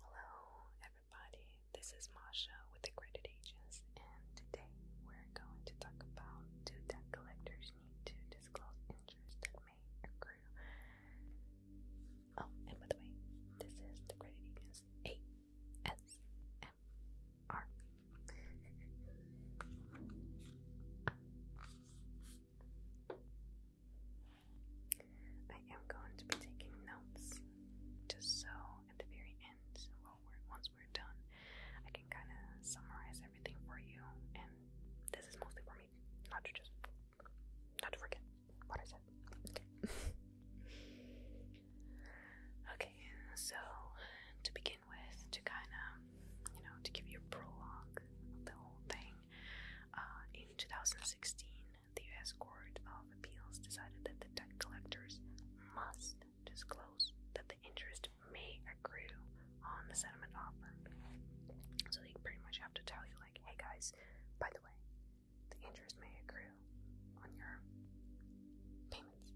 Hello, everybody. This is Masha with the Credit Agents, and today we're going to talk about do debt collectors need to disclose interest that may accrue? Oh, and by the way, this is the Credit Agents ASMR. I am going to be taking notes just so at the very end, once we're done, I can kind of summarize everything for you. And this is mostly for me, not to just, not to forget what I said. okay, so to begin with, to kind of, you know, to give you a prologue of the whole thing, uh, in 2016, the U.S. Court of Appeals decided that the debt collectors must disclose that the interest may accrue on the settlement offer. So they pretty much have to tell you, like, hey guys, by the way, the interest may accrue on your payments.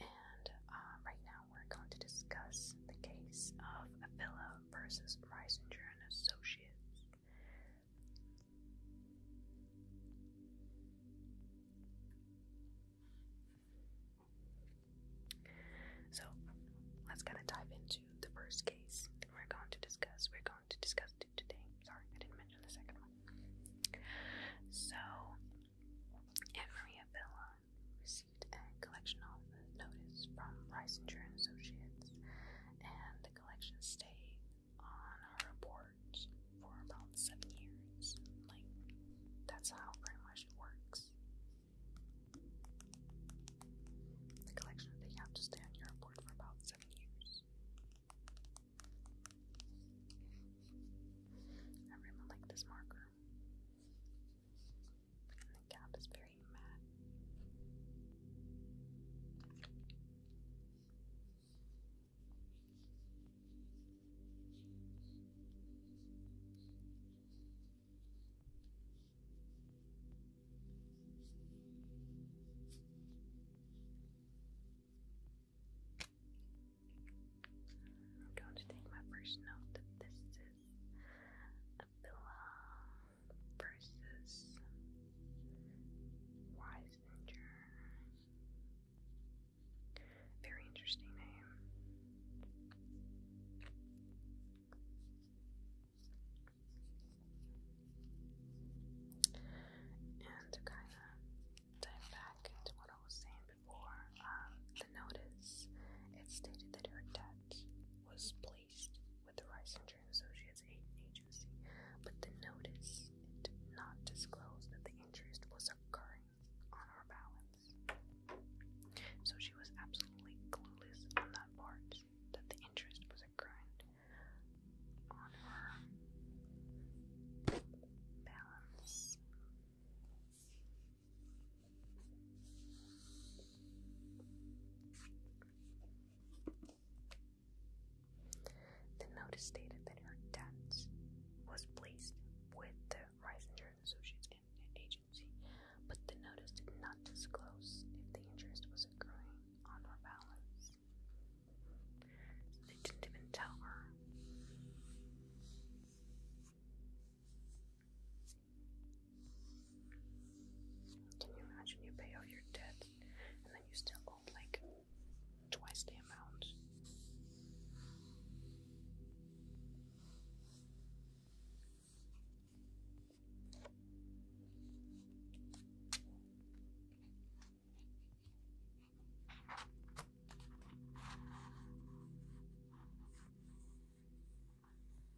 And uh, right now we're going to discuss the case of Avila versus Reisinger and Associates. So let's kind of dive into the first case we're going to discuss. We're going to discuss it today. Sorry, I didn't mention the second one. So, Anne Maria received a collection of notice from Reisinger and Associates, and the collection stay on our report for about seven years. Like, that's how much it works. The collection, they have to stay on your report for about seven years. I like this marker the cap is very matte. I'm going to take my first note this is a pillow versus Weisinger. Very interesting name. And kind of dive back into what I was saying before, um, the notice it stated that her debt was placed with the Reisinger and Associates agency, but the notice it did not disclose that the interest was occurring on our balance. So she was absolutely clueless on that part, that the interest was occurring on her balance. The notice stated that her debt was placed with the Reisinger Associates Agency, but the notice did not disclose if the interest was accruing on her balance. They didn't even tell her. Can you imagine you pay off your debt and then you still owe like twice the amount?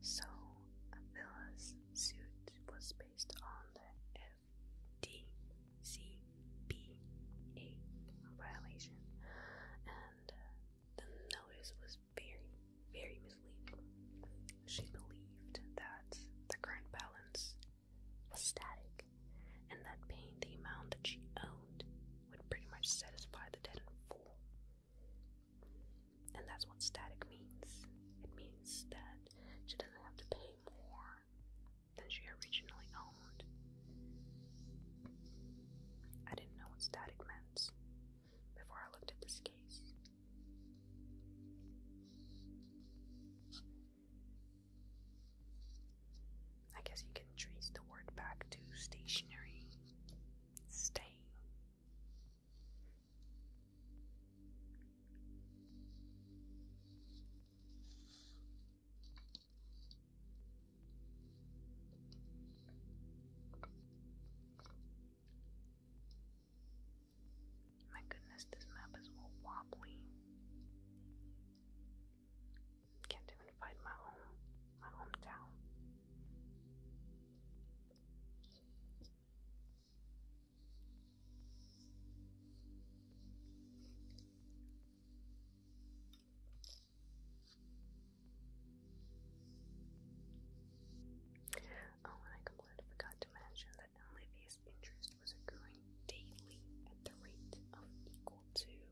So, Avila's suit was based on the FDCPA violation, and uh, the notice was very, very misleading. She believed that the current balance was static and that paying the amount that she owned would pretty much satisfy the debt and full. And that's what static means. It means that she doesn't have to pay more than she originally owned. I didn't know what static meant before I looked at this case. I guess you can trace the word back to stationary. Stay. My goodness, this map is all wobbly. Can't even find my home, my hometown. Oh, and I completely forgot to mention that LAV's interest was accruing daily at the rate of equal to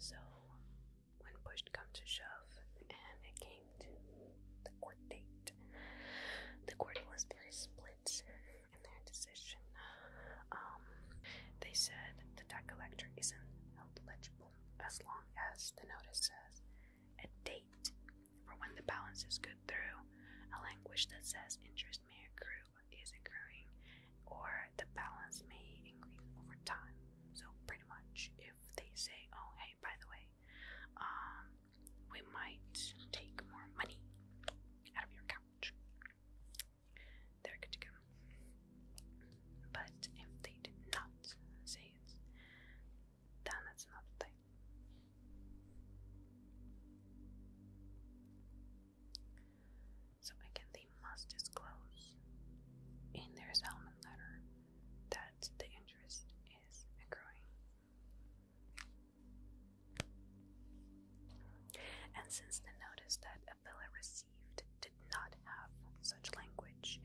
So, when push comes to shove, and it came to the court date, the court was very split in their decision. Um, they said the tax collector isn't eligible as long as the notice says a date for when the balance is good through, a language that says interest may accrue is accruing, or the balance may increase over time. So pretty much if they say, oh hey, by the way, um, we might take more money out of your account, they're good to go. But if they did not say it, then it's another So again, they must disclose in their settlement letter that the interest is accruing. And since the notice that a filler received did not have such language,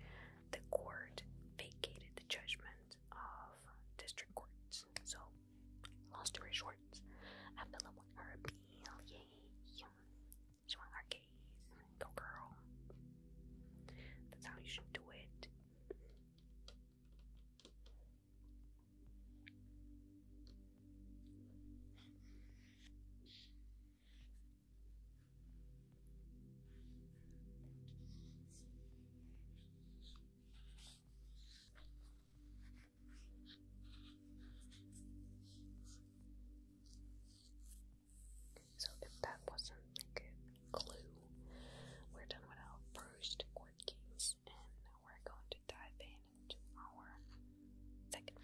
the court vacated the judgment of district courts. So, long story short, Abdullah won her appeal. She won her case. Go, girl. That's how you should do it. So if that wasn't like a clue, we're done with our first court and we're going to dive in into our second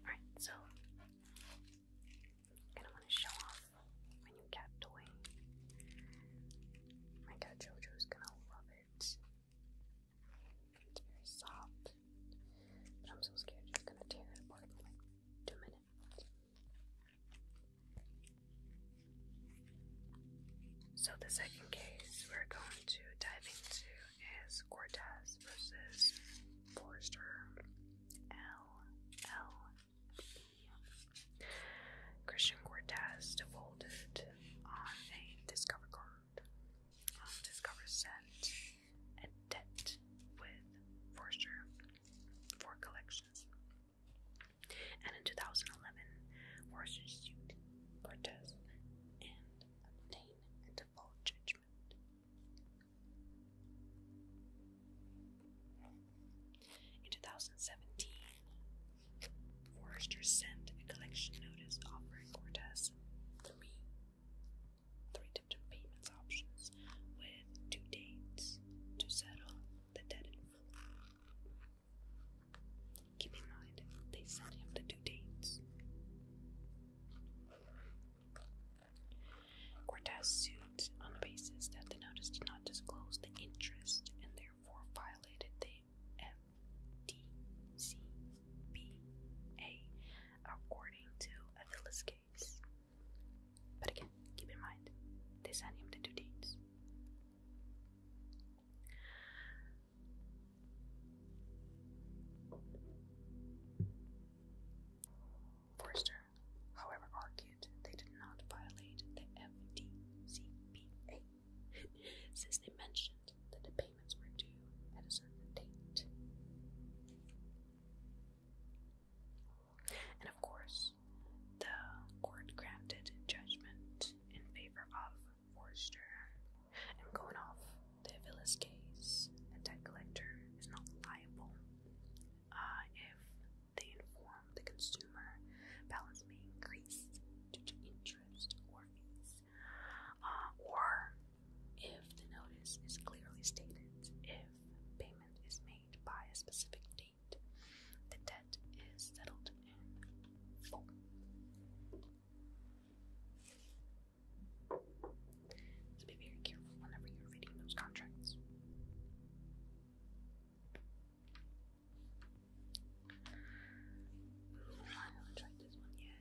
Alright, so gonna want to show off my new cat toy. My cat Jojo's gonna love it. It's very soft. But I'm so scared it's gonna tear it apart two minutes. So the second case we're going to dive into is Cortez versus Forrester L L B. Christian Cortez defaulted on a Discover card. Um, Discover sent and debt with Forster for collections. And in 2011, Forster sued Cortez and obtained a default judgment. In 2017, Forrester sent a collection notice offering Cortez three three different payments options with two dates to settle the debt in full. Keep in mind, they sent him the two dates. Cortez sued on the basis that the notice did not disclose the interest and therefore violated the M D C B A according to Attila's case. But again, keep in mind, they sent him the two deeds. Forster, however, argued they did not violate the FDCPA, since they mentioned that the at a certain date. And of course, the court granted judgment in favor of Forster. And going off the Villas case, a debt collector is not liable uh, if they inform the consumer balance may increase due to interest or fees. Uh, or if the notice is clearly stated, if payment is made by a specific date, the debt is settled So be very careful whenever you're reading those contracts. I haven't tried this one yet.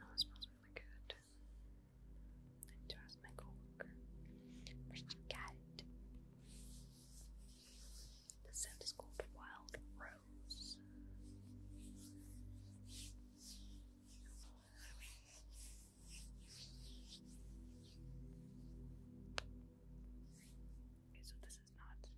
Oh, it smells really good. I need to my coworker where she got it. The scent is called Wild Rose. Okay, so this is not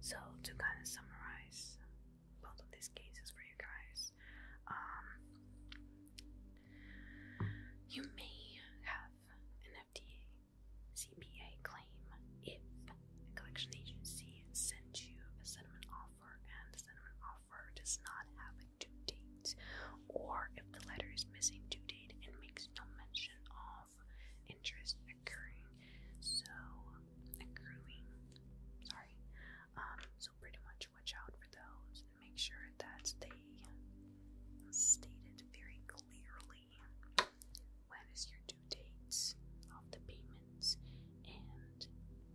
So to kind of summarize both of these cases for you guys, um, you may have an FDA CPA claim if a collection agency sent you a settlement offer offer and the settlement offer does not have a due date, or if the letter is missing due date and makes no mention of interest occurring, so accruing, sorry. Um, so pretty much watch out for those and make sure that they stated very clearly when is your dates of the payments, and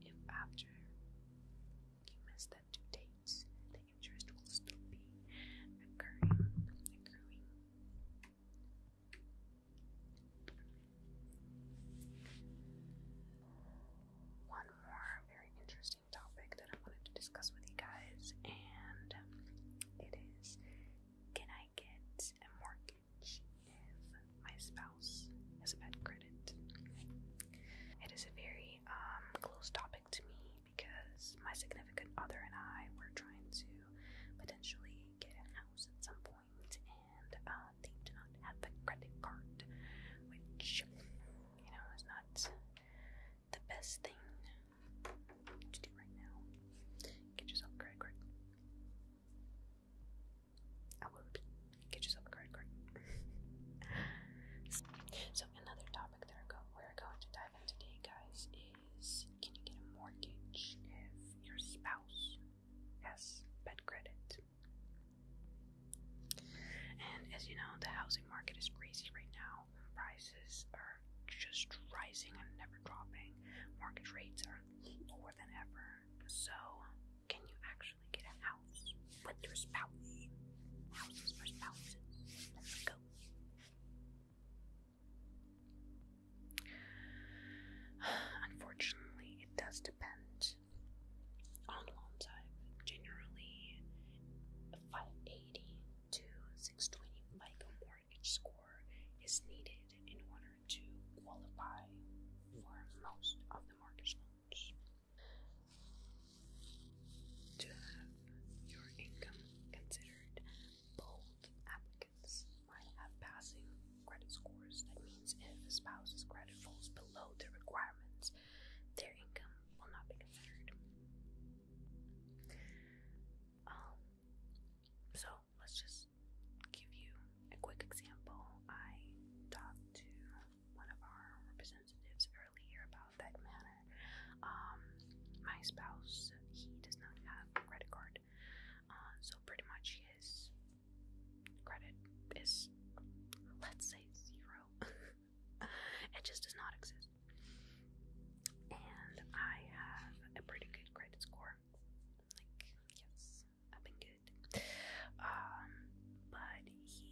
if after you miss that two dates, the interest will still be occurring. One more very interesting topic that I wanted to discuss with you guys, and it is can I get a mortgage? my spouse has bad credit. It is a very um, close topic to me because my significant other and I were trying to potentially get a house at some point, and uh, they do not have the credit card, which you know is not the best thing to do right now. Get yourself credit so, another topic that we're going to dive into today, guys, is can you get a mortgage if your spouse has bad credit? And as you know, the housing market is crazy right now. Prices are just rising and never dropping. Mortgage rates are lower than ever. So, can you actually get a house with your spouse? Houses for spouses. Let's go. Unfortunately, it does depend on loan type. Generally, a 580 to 620 FICO mortgage score is needed in order to qualify for most of the mortgage loans. To have your income considered, both applicants might have passing credit scores. That means if a spouse's credit falls below the requirements, their income will not be considered. Um, so let's just give you a quick example. I talked to one of our representatives earlier about that matter. Um, my spouse, he does not have a credit card, uh, so pretty much his credit is, let's say, zero. it just does not exist. And I have a pretty good credit score. Like, yes, since I've been good. Um, but he is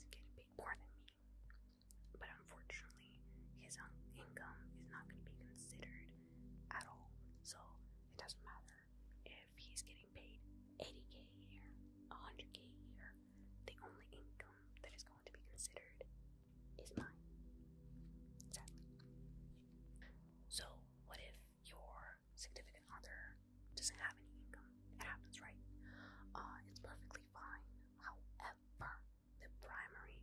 getting paid more than me. But unfortunately, his own income is not going to be considered at all. So it doesn't matter if he's getting paid 80k a year, 100k a year. The only income that is going to be considered is mine. Sadly. So what if your significant other doesn't have any income? It happens, right? Uh, it's perfectly fine. However, the primary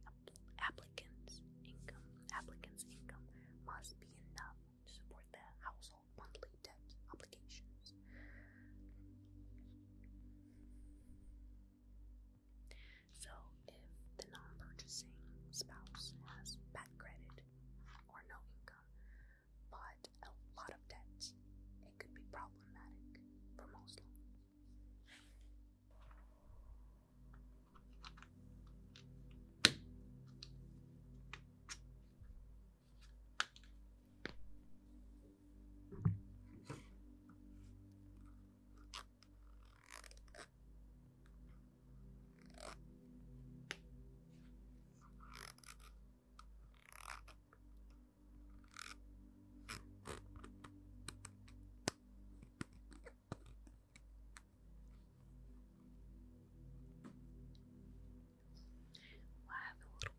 applicant's income, applicant's income must be enough to support the household monthly debt obligations. So if the non-purchasing spouse has bad credit or no income, but a lot of debt, it could be problematic for most loans. Well, I have a little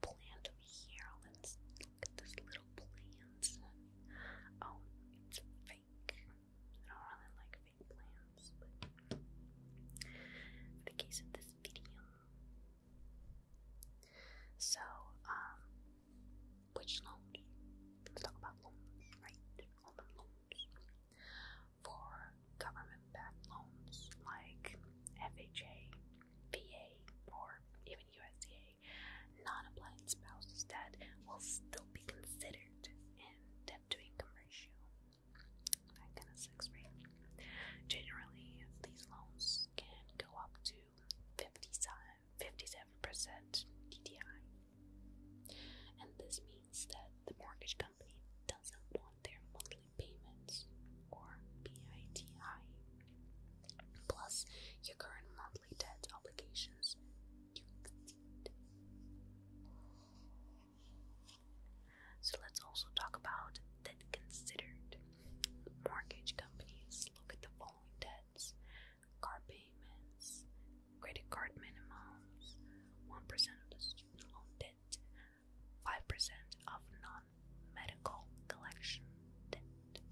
plant over here. let look at this little plant. Oh, it's fake. I don't really like fake plants, for the case of this video. So, um, which loans? Let's talk about loans, right? All loans. For government backed loans like FHA, VA, or even USDA, non applied spouses that will still be considered considered debt to income ratio. That kind of sex rate. Generally, these loans can go up to 57% DTI. And this means that the mortgage company doesn't want their monthly payments or PITI. Plus, your current monthly so let's also talk about debt considered. Mortgage companies look at the following debts car payments, credit card minimums, 1% of the student loan debt, 5% of non medical collection debt.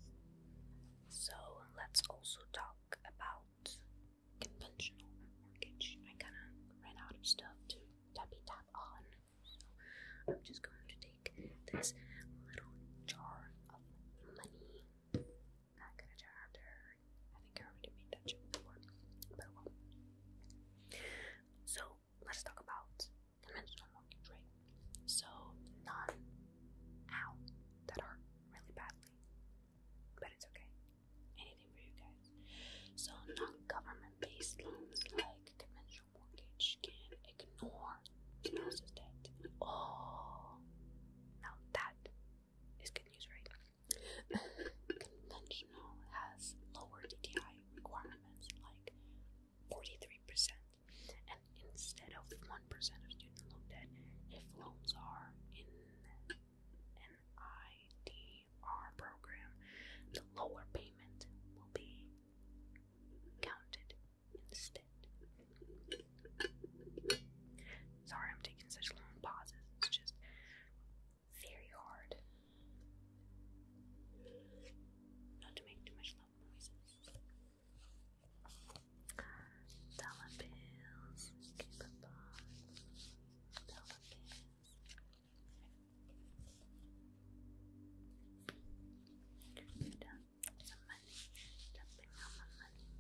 So let's also talk about conventional mortgage. I kind of ran out of stuff to tap it tap on, so I'm just going to take this little jar of money. Not gonna jar after I think I already made that joke before, but well. So let's talk about conventional mortgage, right? So none, ow, that hurt really badly but it's okay. Anything for you guys. So, non government based loans like conventional mortgage can ignore spouse's debt. Oh, now that is good news, right? conventional has lower DTI requirements like 43%, and instead of of student loan debt if loans are in an IDR program. The lower payment will be counted instead. Sorry, I'm taking such long pauses. It's just very hard not to make too much loud noises dollar bills, keep a bond, dollar bills. Good. The money, jumping on the money.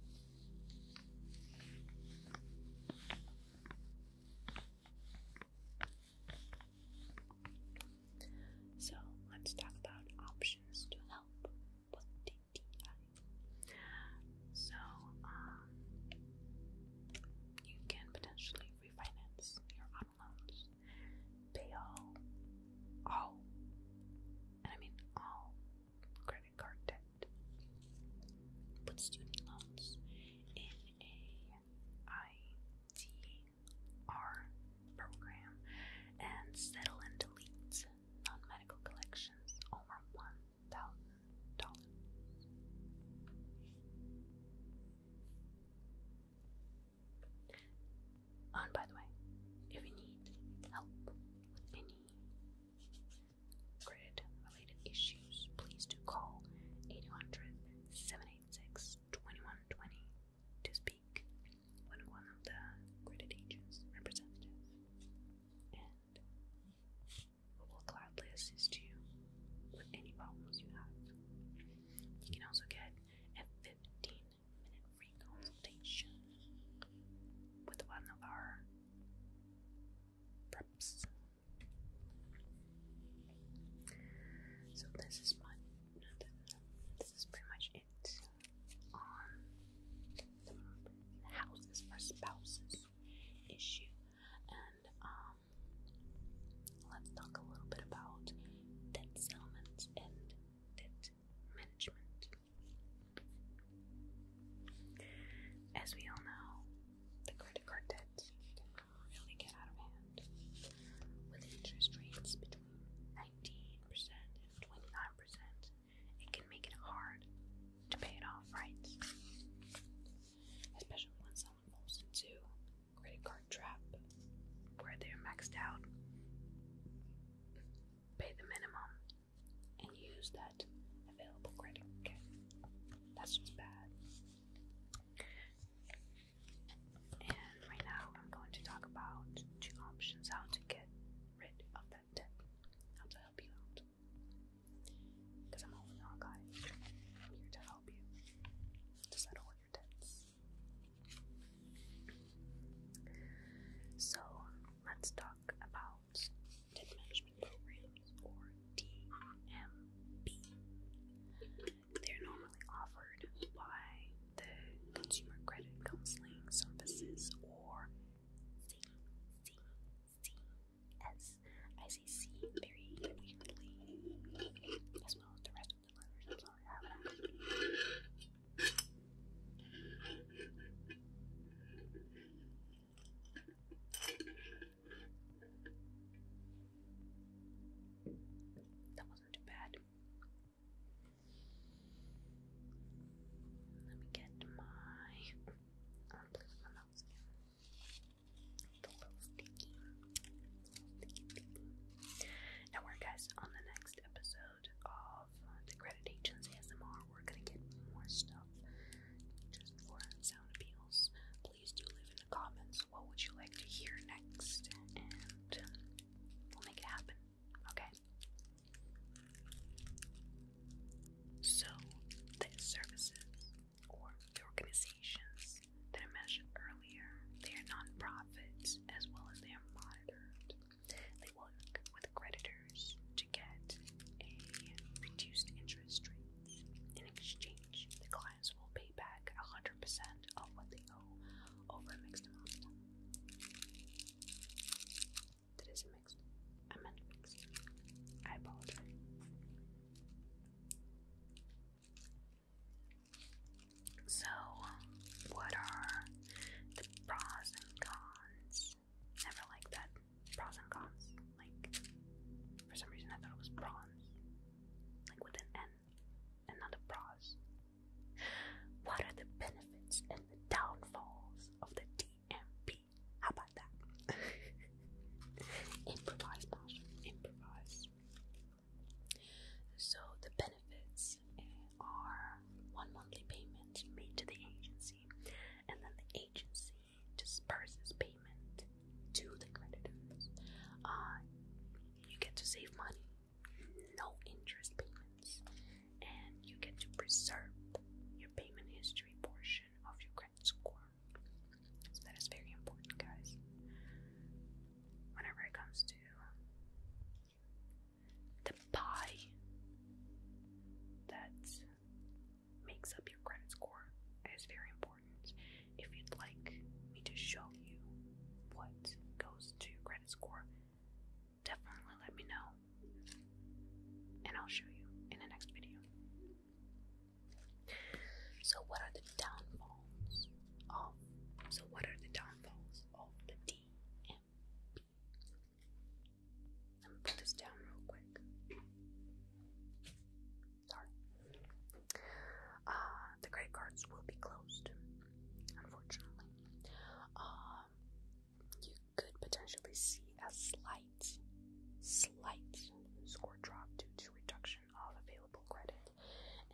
So let's talk about options to help. So, um, you can potentially refinance your auto loans, pay all, and I mean all credit card debt, put student loans in a ITR program, and settle and delete non-medical collections over one thousand dollars. And by the way, if you need help with any credit related issues, please do call 8100 to speak one of the credit agents representative and we will gladly assist you with any problems you have. You can also get a 15 minute free consultation with one of our preps. So this is my this is pretty much it on houses for spouses issue. And um, let's talk a little bit about debt settlements and debt management. As we all know, the credit card debt can really get out of hand with interest rates between 19% and 29% it can make it hard to pay it off, right? Especially when someone falls into credit card trap where they're maxed out, pay the minimum, and use that available credit. that's just bad. And right now, I'm going to talk about two options how to get rid of that tip. to help you out. Because I'm only Hawkeye. I'm here to help you to settle your debts. So let's talk about debt management programs or DMP. They're normally offered by the Consumer Credit Counseling Services or CCCS. very weirdly, as well as the rest of the letters. I'm sorry, That wasn't too bad. Let me get my. I'm my nose again. The little sticky. Now, we guys on the next episode of the Credit Agents ASMR. We're gonna get more stuff just for sound appeals. Please do leave in the comments what would you like to hear next, and we'll make it happen. Okay. So, the services or the organizations that I mentioned earlier, they are nonprofits as well as they are monitored. They work with creditors to get a reduced interest rate. In exchange, the clients will pay back 100% of what they owe over a mixed amount that is mixed. I meant mixed. I apologize. So, what are the pros and cons? Never like that. Pros and cons. Like, for some reason I thought it was prawns. Like with an N. And not a pros. What are the benefits and the downfalls of the DMP? How about that? improvise, Marshall. Improvise. So the benefits are one monthly payment make to the agency, and then the agency disperses payment to the creditors. Uh, you get to save money no interest payments, and you get to preserve your payment history portion of your credit score. So that is very important, guys. Whenever it comes to um, the pie that makes up your credit score, is very important. If you'd like me to show you what goes to your credit score, definitely let me know. And I'll show you in the next video. So, what are the downfalls of? So, what are the downfalls of the DMP? Let me put this down real quick. Sorry. Uh, the credit cards will be closed unfortunately. Um, you could potentially see a slight, slight score drop due to reduction of available credit,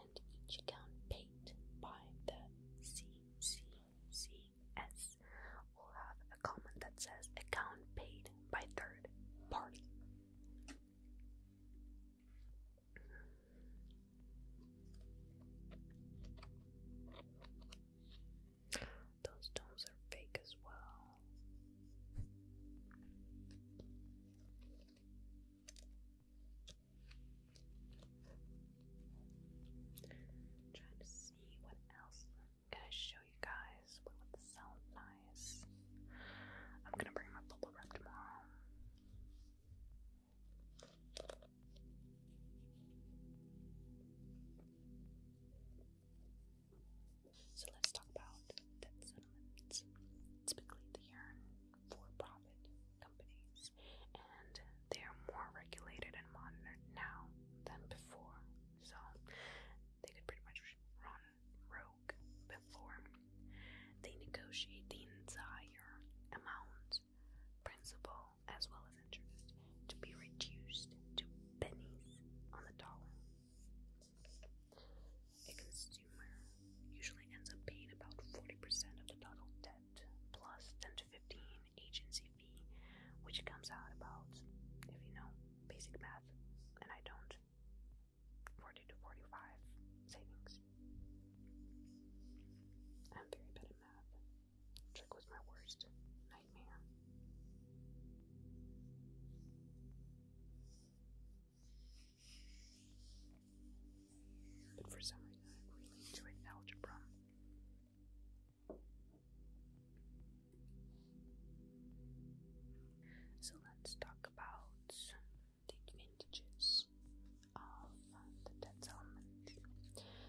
and each account paid by the CCCS will have a comment that says account paid by third party. Those stones are fake as well. trying to see what else I'm gonna show you guys. What would sound nice? I'm gonna bring my bubble wrap tomorrow. So let's talk about debt settlements. Typically, they are for profit companies and they are more regulated and monitored now than before. So they could pretty much run rogue before. They negotiate the entire amount principal as well as interest, to be reduced to pennies on the dollar. A consumer usually ends up paying about 40% of the total debt plus 10 to 15 agency fee, which comes out about, if you know basic math, and I don't, 40 to 45 savings. I'm very bad at math. Trick was my worst nightmare. But for some reason, I really enjoyed algebra. So let's talk about the advantages of the debt settlement.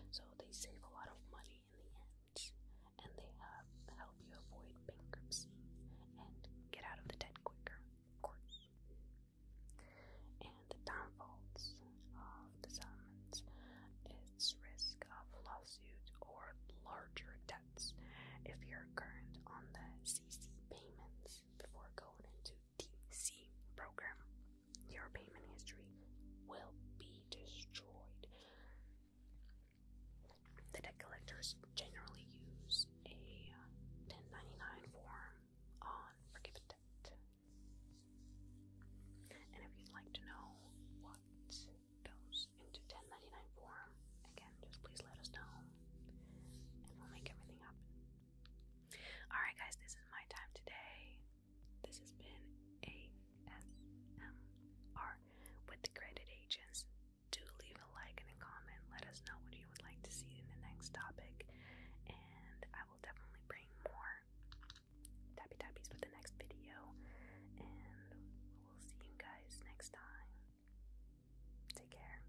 So they save a lot of money in the end, and they help you avoid bankruptcy and get out of the debt quicker, And the downfalls of the settlements is risk of lawsuit or larger debts if you're current on the CC payments before going into ETC program, your payment history will be destroyed. The debt collectors generally use a 1099 uh, form on forgiven debt. And if you'd like to know what goes into 1099 form, again, just please let us know and we'll make everything happen. Alright, guys, this is my time today. This has been ASMR with the Credit Agents. Do leave a like and a comment. Let us know what you would like to see in the next topic. And I will definitely bring more tappy tappies for the next video. And we'll see you guys next time. Take care.